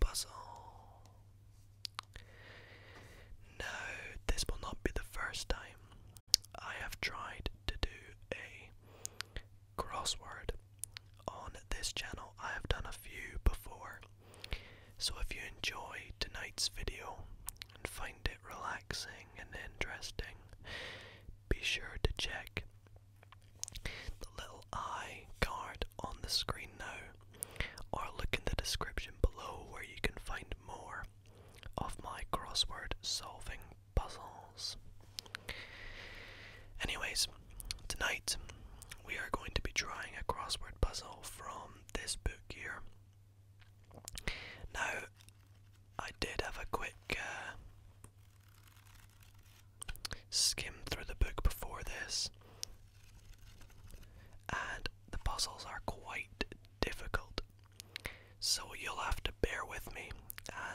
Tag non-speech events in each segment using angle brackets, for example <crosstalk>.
puzzle. Now, this will not be the first time I have tried to do a crossword on this channel. I have done a few before. So, if you enjoy tonight's video and find it relaxing and interesting, be sure to check the little eye card on the screen now, or look in the description below where you can find more of my crossword solving puzzles. Anyways, tonight we are going to be trying a crossword puzzle from this book here. Now, I did have a quick uh, skimmed through the book before this, and the puzzles are quite difficult. So you'll have to bear with me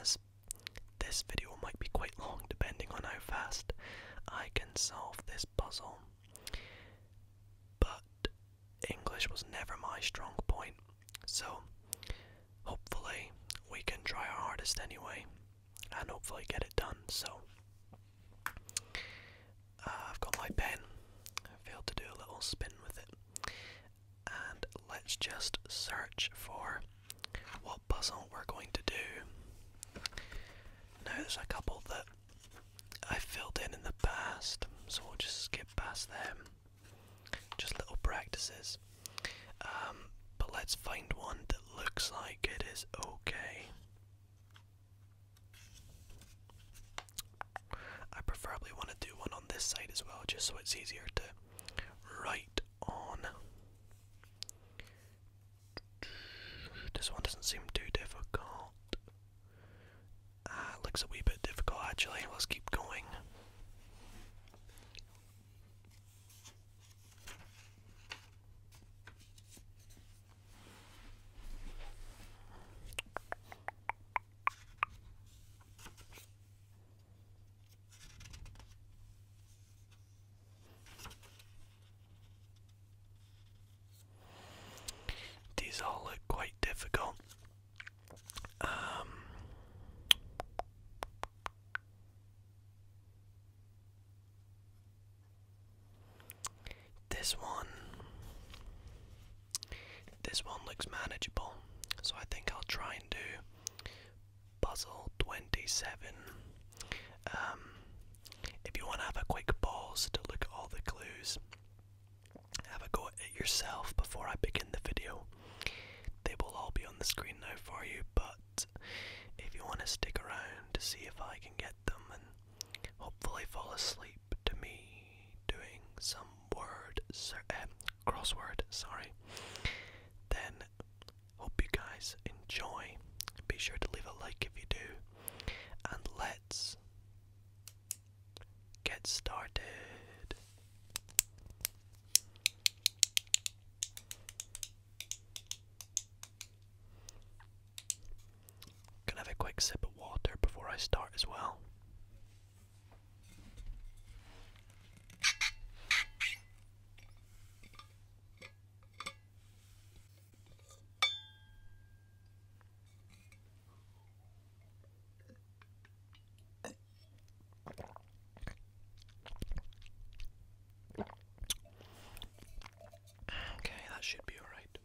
as this video might be quite long depending on how fast I can solve this puzzle. But English was never my strong point, so hopefully we can try our hardest anyway and hopefully get it done. So uh, I've got my pen. I failed to do a little spin with it, and let's just search for what puzzle we're going to do. Now there's a couple that I filled in in the past, so we'll just skip past them. Just little practices. Um, but let's find one that looks like it is okay. I preferably want to do one on this side as well, just so it's easier to write on. This one doesn't seem too difficult. Ah, looks a wee bit difficult actually. Let's keep going. These all look quite difficult. Um, this one, this one looks manageable, so I think I'll try and do puzzle 27. Um, if you want to have a quick pause to look at all the clues, have a go at it yourself before I begin the video. They will all be on the screen now for you, but if you want to stick around to see if I can get them and hopefully fall asleep to me doing some word um, crossword, sorry, then hope you guys enjoy. Be sure to leave a like if you do, and let's get started. Gonna have a quick sip of water before I start as well. Okay, that should be alright.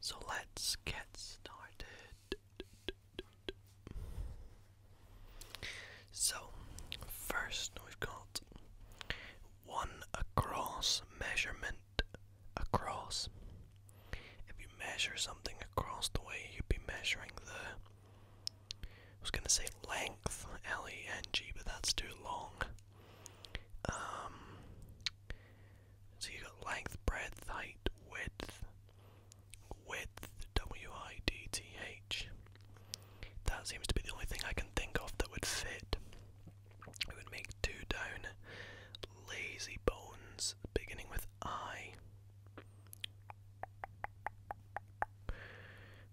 So let's get started. So, first we've got one across measurement across. If you measure something across the way, you'd be measuring the I was gonna say length, L E N G, but that's too long. Um, so you got length, breadth, height, width, width, W I D T H. That seems to be the only thing I can think of that would fit. It would make two down lazy bones beginning with I?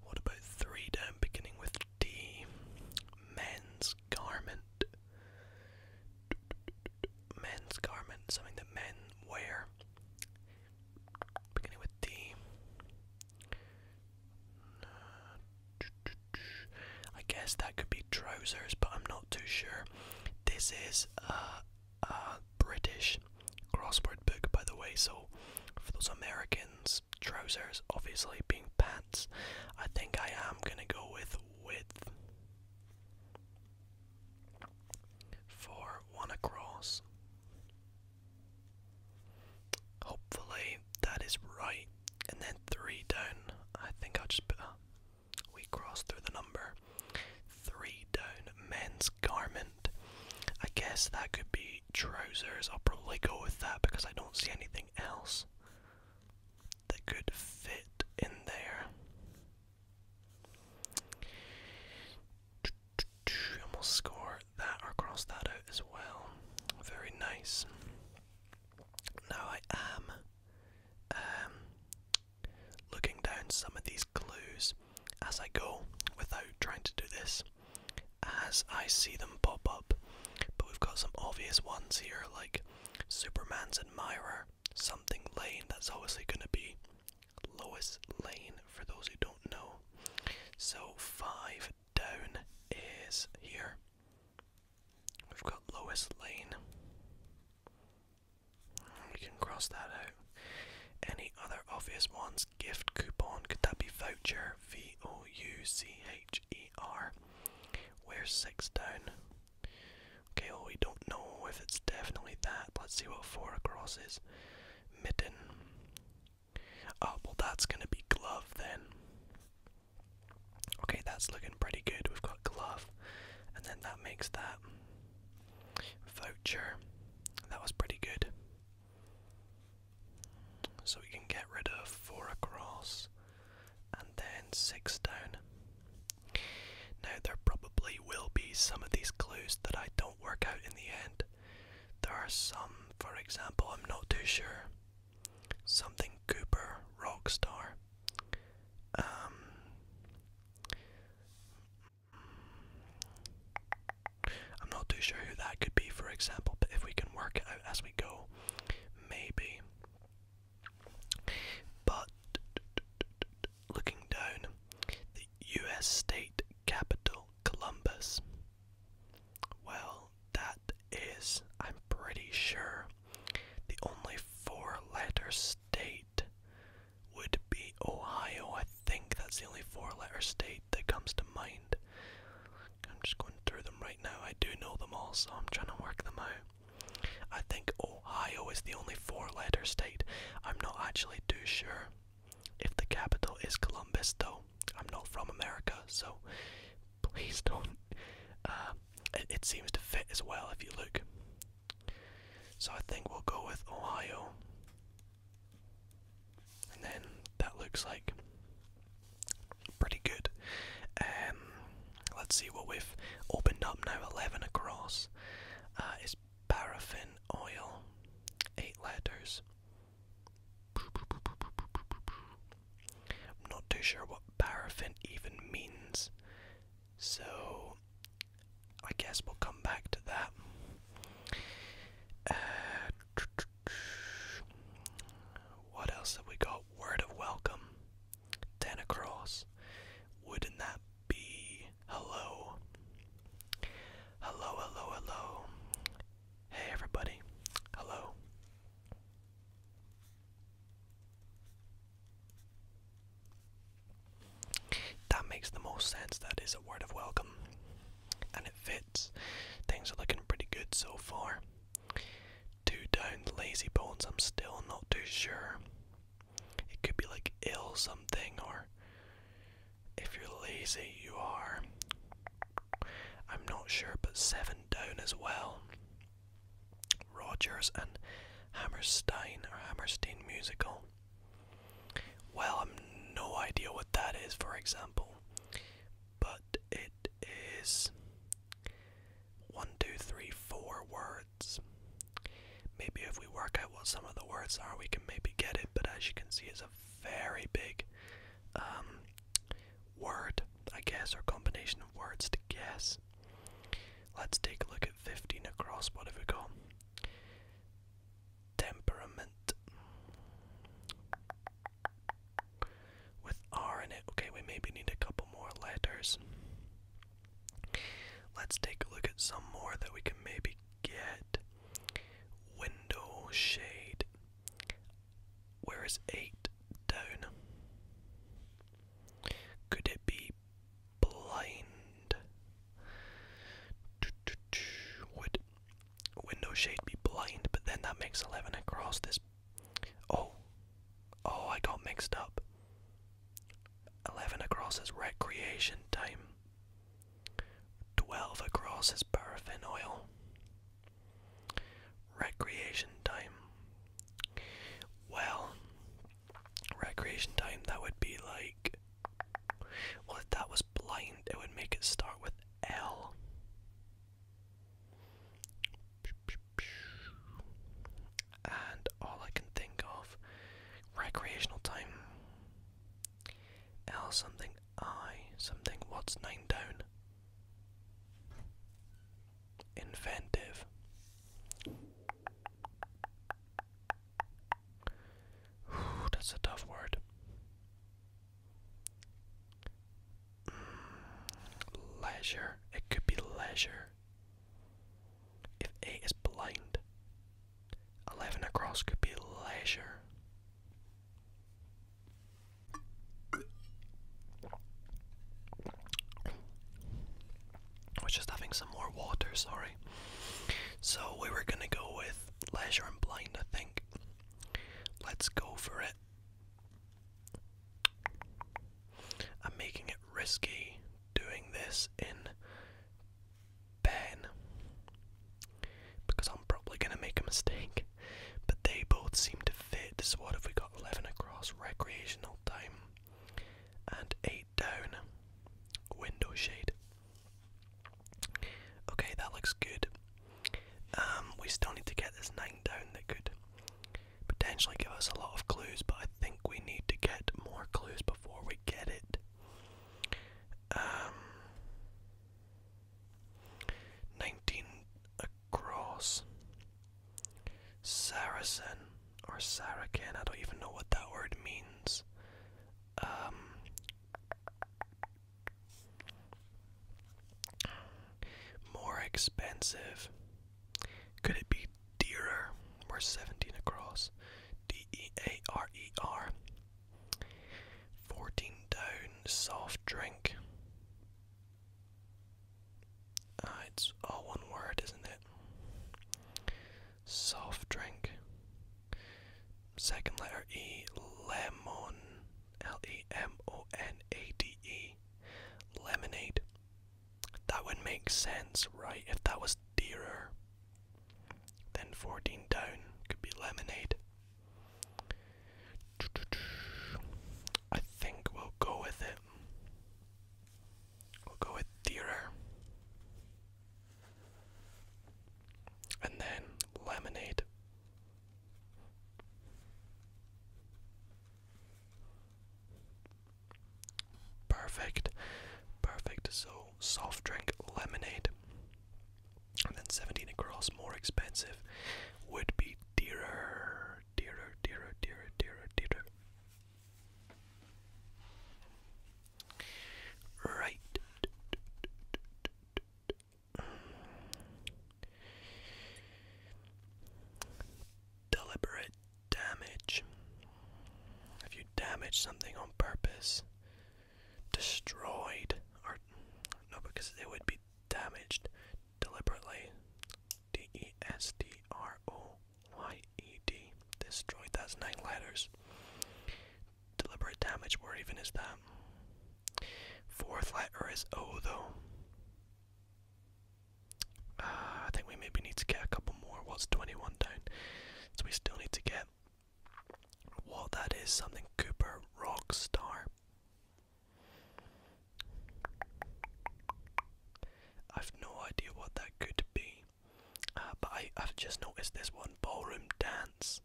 What about three down beginning with D? Men's garment. Men's garment, something that men wear. Beginning with D. I guess that could be trousers, but I'm not too sure. This is uh, uh, British crossword book, by the way. So, for those Americans, trousers obviously being pants, I think I am gonna go with width for one across. Hopefully, that is right. And then three down. I think I'll just put a. We cross through the number three down men's garment. I guess that could be trousers. I'll probably go with that because I don't see anything else that could fit in there. And score that or that as well. Very nice. Now I am um, Looking down some of these clues as I go without trying to do this as I see them pop up. But we've got some obvious ones here like Superman's admirer, something lane, that's obviously going to be Lois Lane for those who don't know. So five down is here. We've got Lois Lane. We can cross that out. Any other obvious ones? Gift coupon, could that be voucher? V O U C H E R. We're six down. Okay, well, we don't know if it's definitely that. Let's see what four across is. Mitten. Oh, well, that's going to be glove then. Okay, that's looking pretty good. We've got glove, and then that makes that Voucher. That was pretty good. So we can get rid of four across and then six down. Now, there probably will be some of these clues that I don't work out in the end. There are some, for example, I'm not too sure. Something Cooper Rockstar. Um, I'm not too sure who that could be, for example, but if we can work it out as we go, maybe. But looking down, the US state capital, Columbus. Well, that is, I'm pretty sure, the only four letter state would be Ohio. I think that's the only four letter state that comes to mind. I'm just going through them right now. I do know them all, so I'm trying to work them out. I think Ohio is the only four letter state. I'm not actually too sure if the capital is Columbus, though. I'm not from America, so please don't. Uh, it seems to fit as well if you look. So I think we'll go with Ohio. And then that looks like pretty good. Um, let's see what we've opened up now. 11 across uh, is paraffin oil. Eight letters. I'm not too sure what paraffin even means. So I guess we'll come back to that. Uh, what else have we got? Word of welcome. Ten Wouldn't that be hello? Hello, hello, hello. Hey everybody. Hello. That makes the most sense. That is a word of welcome. And it fits. Things are looking pretty good so far. Two down, lazy bones, I'm still not too sure. It could be like ill something, or if you're lazy, you are. I'm not sure, but seven down as well. Rogers and Hammerstein or Hammerstein musical. Well, I've no idea what that is, for example, but it is one, two, three, four words. Maybe if we work out what some of the words are, we can maybe get it, but as you can see, it's a very big um, word, I guess, or combination of words to guess. Let's take a look at 15 across. What have we got? temperament. With R in it. Okay, we maybe need a couple more letters. Let's take a look at some more that we can maybe get. Window shade. Where is 8 down? Could it be blind? Would window shade be blind? But then that makes 11 across this. Oh, oh, I got mixed up. 11 across is recreation time. 12 across is paraffin oil. Recreation time. Well, recreation time, that would be like. Well, if that was blind, it would make it start with L. And all I can think of, recreational time. L something I something. What's nine down? Inventive that's a tough word. leisure. It could be leisure. If A is blind, 11 across could be leisure. I was just having some more water, sorry. So we were gonna go with Leisure and Blind, I think. Let's go for it. I'm making it risky doing this in Ben because I'm probably gonna make a mistake. But they both seem to fit. So what have we got? Eleven across recreational time and eight down. Window shade. Okay, that looks good. Um, we still need to get this 9 down that could potentially give us a lot of clues, but I think we need to get more clues before we get it. Um, 19 across. Saracen or Sarakin, I don't even know what that word means. Um, more expensive. Could it be dearer? We're 17 across. D E A R E R. 14 down, soft drink. Ah, it's all one word, isn't it? soft drink. Second letter E, lemon, L E M O N A D E, lemonade. That would make sense, right? If that was dearer, then 14 down could be lemonade. I think we'll go with it. We'll go with dearer. And then laminate. Perfect. Perfect. So soft drink lemonade. And then 17 across, more expensive, would be dearer, dearer, dearer, dearer, dearer, dearer. Right. Deliberate damage. If you damage something on purpose, destroyed, or no, because it would be damaged deliberately. D E S D R O Y E D. Destroyed. That's nine letters. Deliberate damage, where even is that? Fourth letter is O though. Uh, I think we maybe need to get a couple more. What's 21 down? So we still need to get what that is, something Cooper Rockstar. I've no idea what that could be. Uh, but I, have just noticed this one ballroom dance,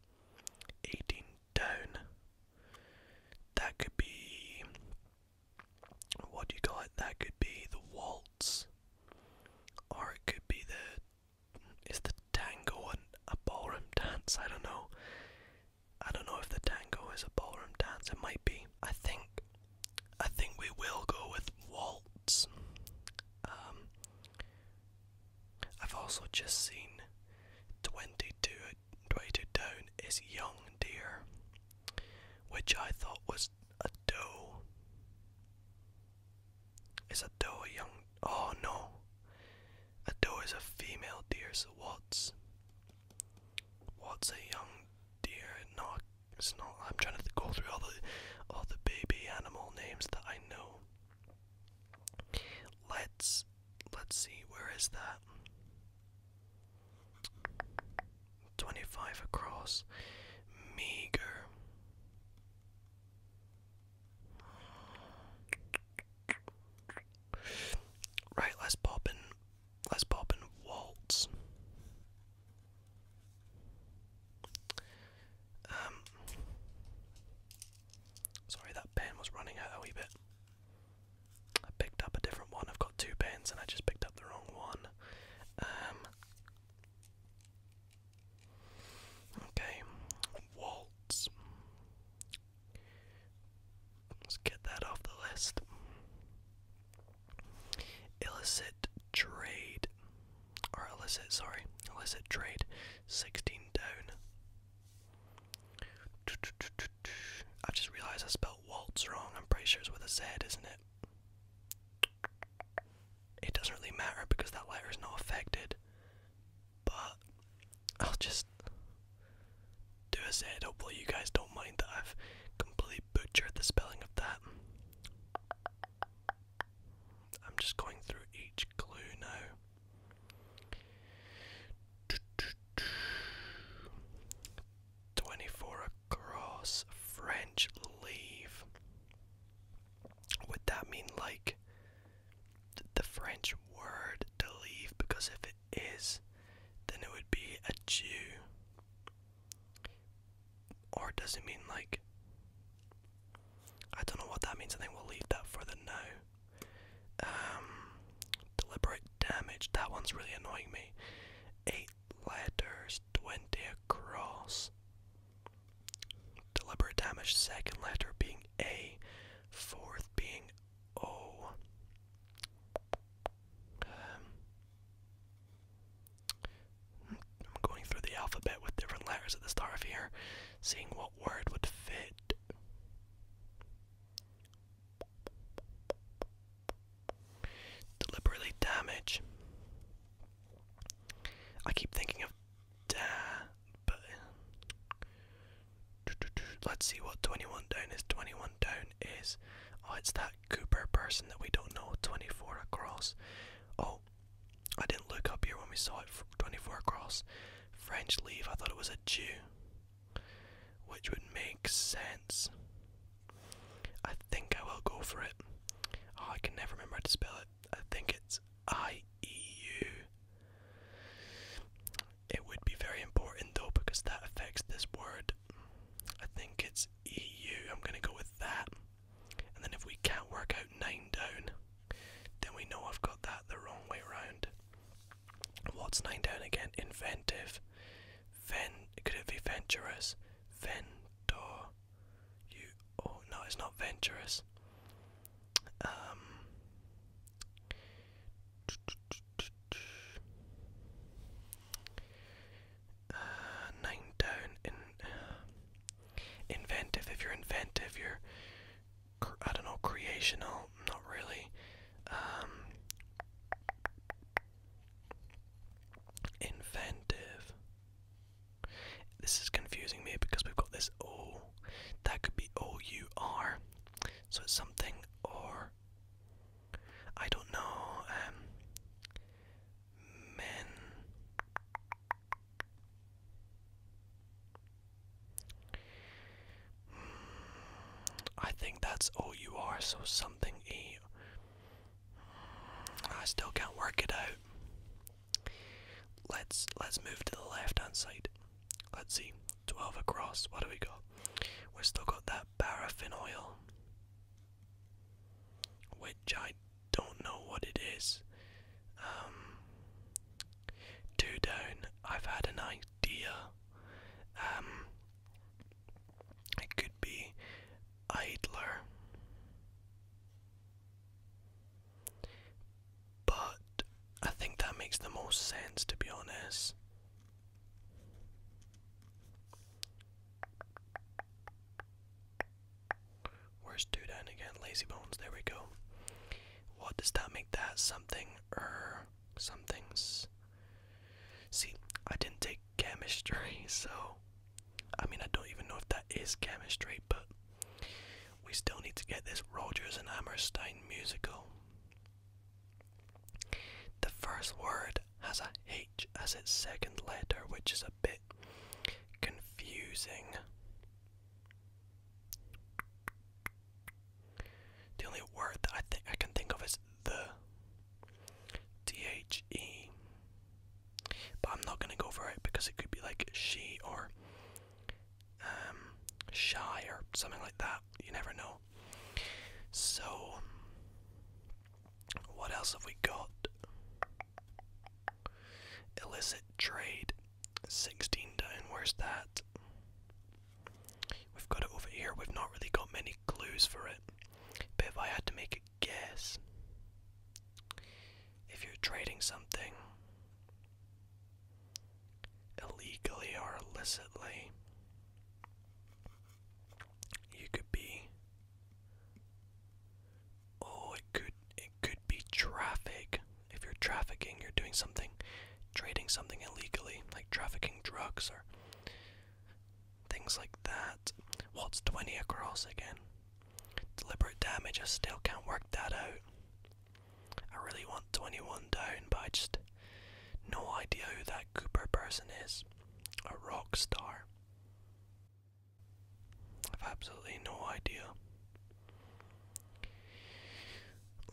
18 down. That could be. What do you call it? That could be the waltz, or it could be the. Is the tango and a ballroom <laughs> dance? I don't know. I don't know if the tango is a ballroom dance. It might be. I think. I think we will go with waltz. Um, I've also just seen 22, 22 down is young deer, which I thought was a doe. It's a doe young? Oh no, a doe is a female deer. So what's what's a young deer? Not it's not. I'm trying to go through all the all the baby animal names that I know. Let's let's see where is that? 25 across. Meager. Right, let's pop in let's pop in Waltz. Um, sorry, that pen was running out a wee bit. I picked up a different one. I've got two pens, and I just picked up the wrong one. Um, okay, waltz. Let's get that off the list. Illicit trade or illicit, sorry, illicit trade, 16 down. I just realized I spelled waltz wrong. I'm pretty sure it's with a Z, isn't it? It doesn't really matter because that letter is not affected. But I'll just do a zed. Hopefully, you guys don't mind that I've completely butchered the spelling of that. I'm just going through each clue now. Twenty-four across French leave. Would that mean like the French word to leave? Because if it is, then it would be a Jew. Or does it mean like. I don't know what that means. I think we'll leave that for the now. Um, deliberate damage. That one's really annoying me. Eight letters, 20 across. Deliberate damage, second letter being A, fourth being O. Um, I'm going through the alphabet with different letters of the start here, seeing what word would fit. Deliberately damage. I keep thinking of da, but let's see what 21 down is. 21 down is, oh, it's that Cooper person that we don't know, 24 across. Oh, I didn't look up here when we saw it 24 across. French leave, I thought it was a Jew, which would make sense. I think I will go for it. Ah, I can never remember how to spell it. I think it's I E U. It would be very important though because that affects this word. I think it's E am gonna go with that. And then if we can't work out 9 down, then we know I've got that the wrong way around. What's 9 down again? Inventive. Ven could it be venturous? Ventor. You oh no, it's not venturous. Um, uh, nine down in inventive. If you're inventive, you're I don't know creational. Not really. Um, inventive. This is confusing me because we've got this Oh, That could be all you are. So it's something or I don't know. Um, men. I think that's O U R, so something E. I still can't work it out. Let's let's move to the left hand side. Let's see. Twelve across. What do we got? We've still got that paraffin oil. Which I don't know what it is. Um, two down. I've had an idea. Um, it could be idler, but I think that makes the most sense to be honest. Where's two down again? Lazy bones. There we go. What does that make that? Something or er, something's. See, I didn't take chemistry, <laughs> so I mean I don't even know if that is chemistry, but we still need to get this Rogers and Hammerstein musical. The first word has a H as its second letter, which is a bit confusing. The only word that I think I can think of is the T-H-E. But I'm not gonna go for it because it could be like she or um shy or something like that. You never know. So what else have we got? Illicit trade, 16 down. Where's that? We've got it over here. We've not really got many clues for it. But if I had to make a guess, if you're trading something illegally or illicitly, you could be Oh, it could it could be traffic. If you're trafficking, you're doing something, trading something illegally, like trafficking drugs or things like that. What's 20 across again. Deliberate damage, I still can't work that out. I really want 21 down, but I just no idea who that Cooper person is. A rock star. I have absolutely no idea.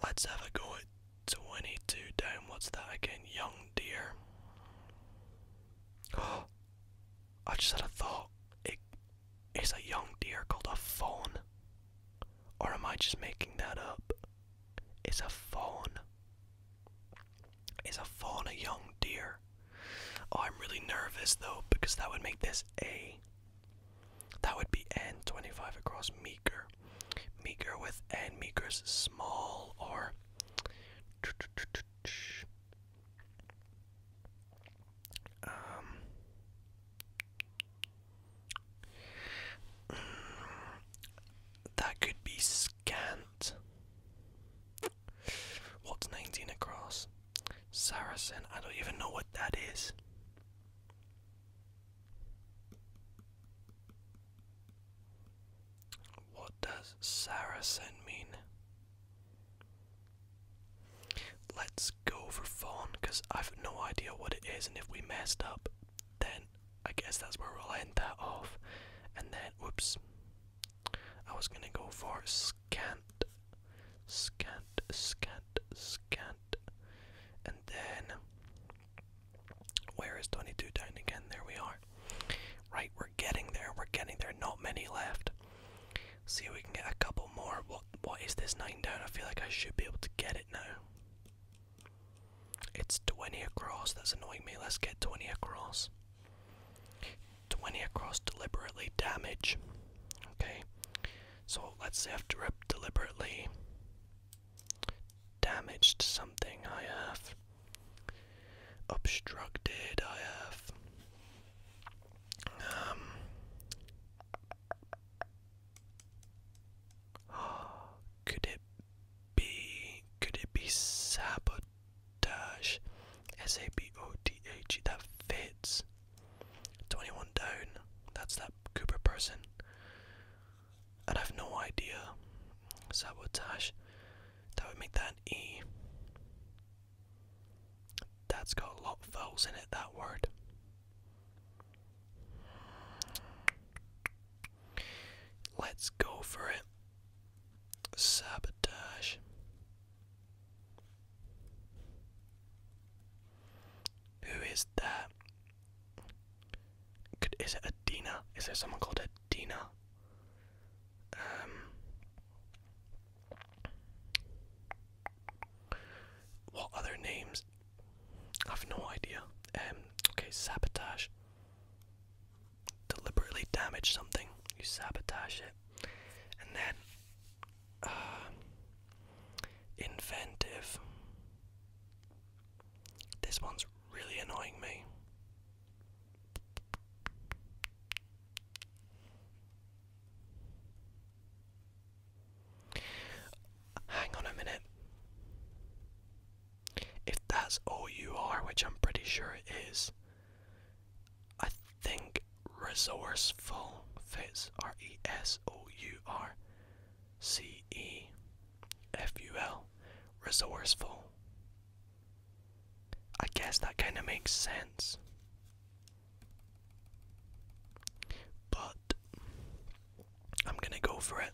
Let's have a go at 22 down. What's that again? Young deer. Oh, <gasps> I just had a thought. It, is a young deer called a fawn? Or am I just making that up? Is a fawn. Is a fawn a young deer? Oh, I'm really nervous though because that would make this A. That would be N25 across Meeker, Meeker with N Meeker's small or. Um. that could be scant. What's 19 across? Saracen. I don't even know what that is. What does Saracen mean? Let's go for Fawn because I've no idea what it is, and if we messed up, then I guess that's where we'll end that off. And then, whoops, I was gonna go for scant, scant, scant, scant. And then, where is 22 down again? There we are. Right, we're getting there, we're getting there. Not many left. See if we can get a couple more. What What is this 9 down? I feel like I should be able to get it now. It's 20 across, that's annoying me. Let's get 20 across. 20 across deliberately damage. Okay, so let's say i deliberately damaged something. I have obstructed. I have. Um, <gasps> could it be? Could it be sabotage? S A B O T H. That fits. 21 down. That's that Cooper person. I've no idea. Sabotage. That would make that E. That's got a lot of vowels in it, that word. Let's go for it. Sabotage. Who is that? is it Adina? Is there someone called Adina? Um, what other names? I have no idea. Um, okay, sabotage. Deliberately damage something. You sabotage it. And then <sighs> inventive. This one's really annoying me. Hang on a minute. If that's all you are, which I'm pretty sure it is, I think resourceful fits R E S O U R C E F U L. Resourceful. I guess that kind of makes sense. But I'm gonna go for it.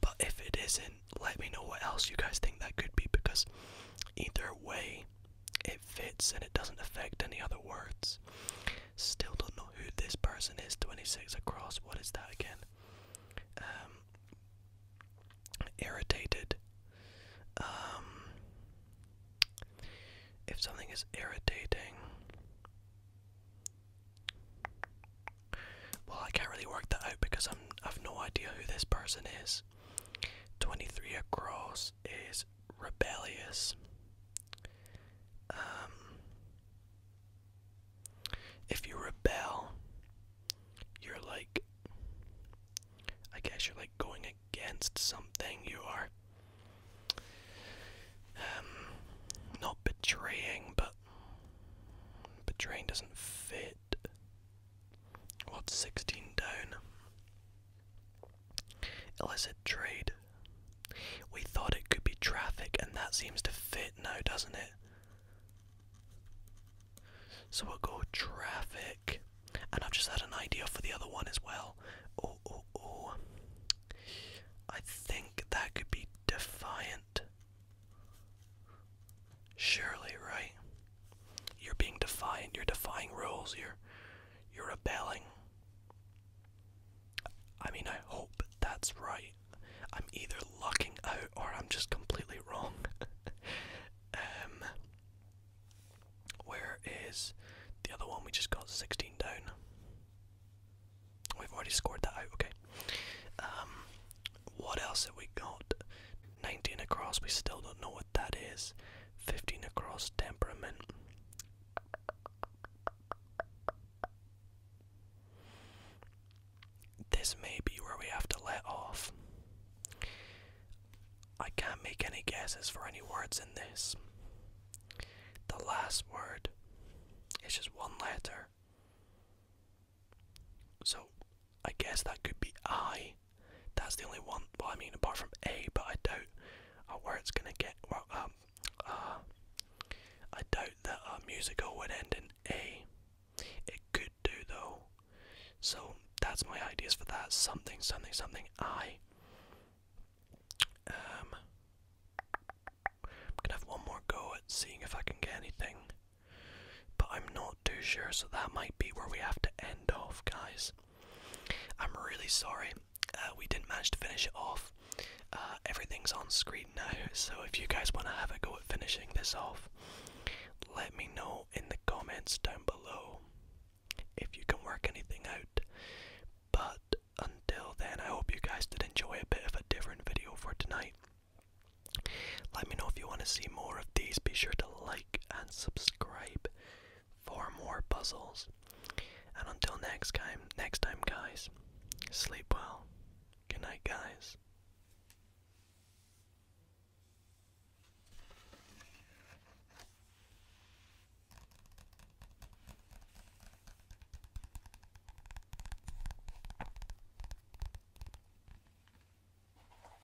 But if it isn't, let me know what else you guys think that could be because Either way, it fits and it doesn't affect any other words. Still don't know who this person is. 26 across. What is that again? Um, irritated. Um, if something is irritating. Well, I can't really work that out because I'm I've no idea who this person is. 23 across is rebellious. Um, if you rebel, you're like, I guess you're like going against something. You are um, not betraying, but betraying doesn't fit. What's 16 down? Illicit trade. We thought it could be traffic, and that seems to fit now, doesn't it? So we'll go traffic. And I've just had an idea for the other one as well. Oh, oh, oh. I think that could be defiant. Surely, right? You're being defiant. You're defying rules. You're you're rebelling. I mean, I hope that's right. I'm either locking out or I'm just completely <laughs> wrong. um, where is the other one? We just got 16 down. We've already scored that out. Okay. Um, what else have we got? 19 across, we still don't know what that is. 15 across, temperament. This may be where we have to let off. I can't make any guesses for any words in this. The last word is just one letter. So I guess that could be I. That's the only one. Well, I mean, apart from A, but I doubt uh, where it's gonna get. Um, uh, I doubt that a musical would end in A. It could do though. So that's my ideas for that. Something, something, something. I. Um, gonna have one more go at seeing if I can get anything. But I'm not too sure, so that might be where we have to end off, guys. I'm really sorry uh, we didn't manage to finish it off. Uh, everything's on screen now, so if you guys want to have a go at finishing this off, let me know in the comments down below if you can work anything out. But until then, I hope you guys did enjoy a bit of a different video for tonight. Let me know if you want to see more of these. Be sure to like and subscribe for more puzzles. And until next time, next time guys, sleep well. Good night guys.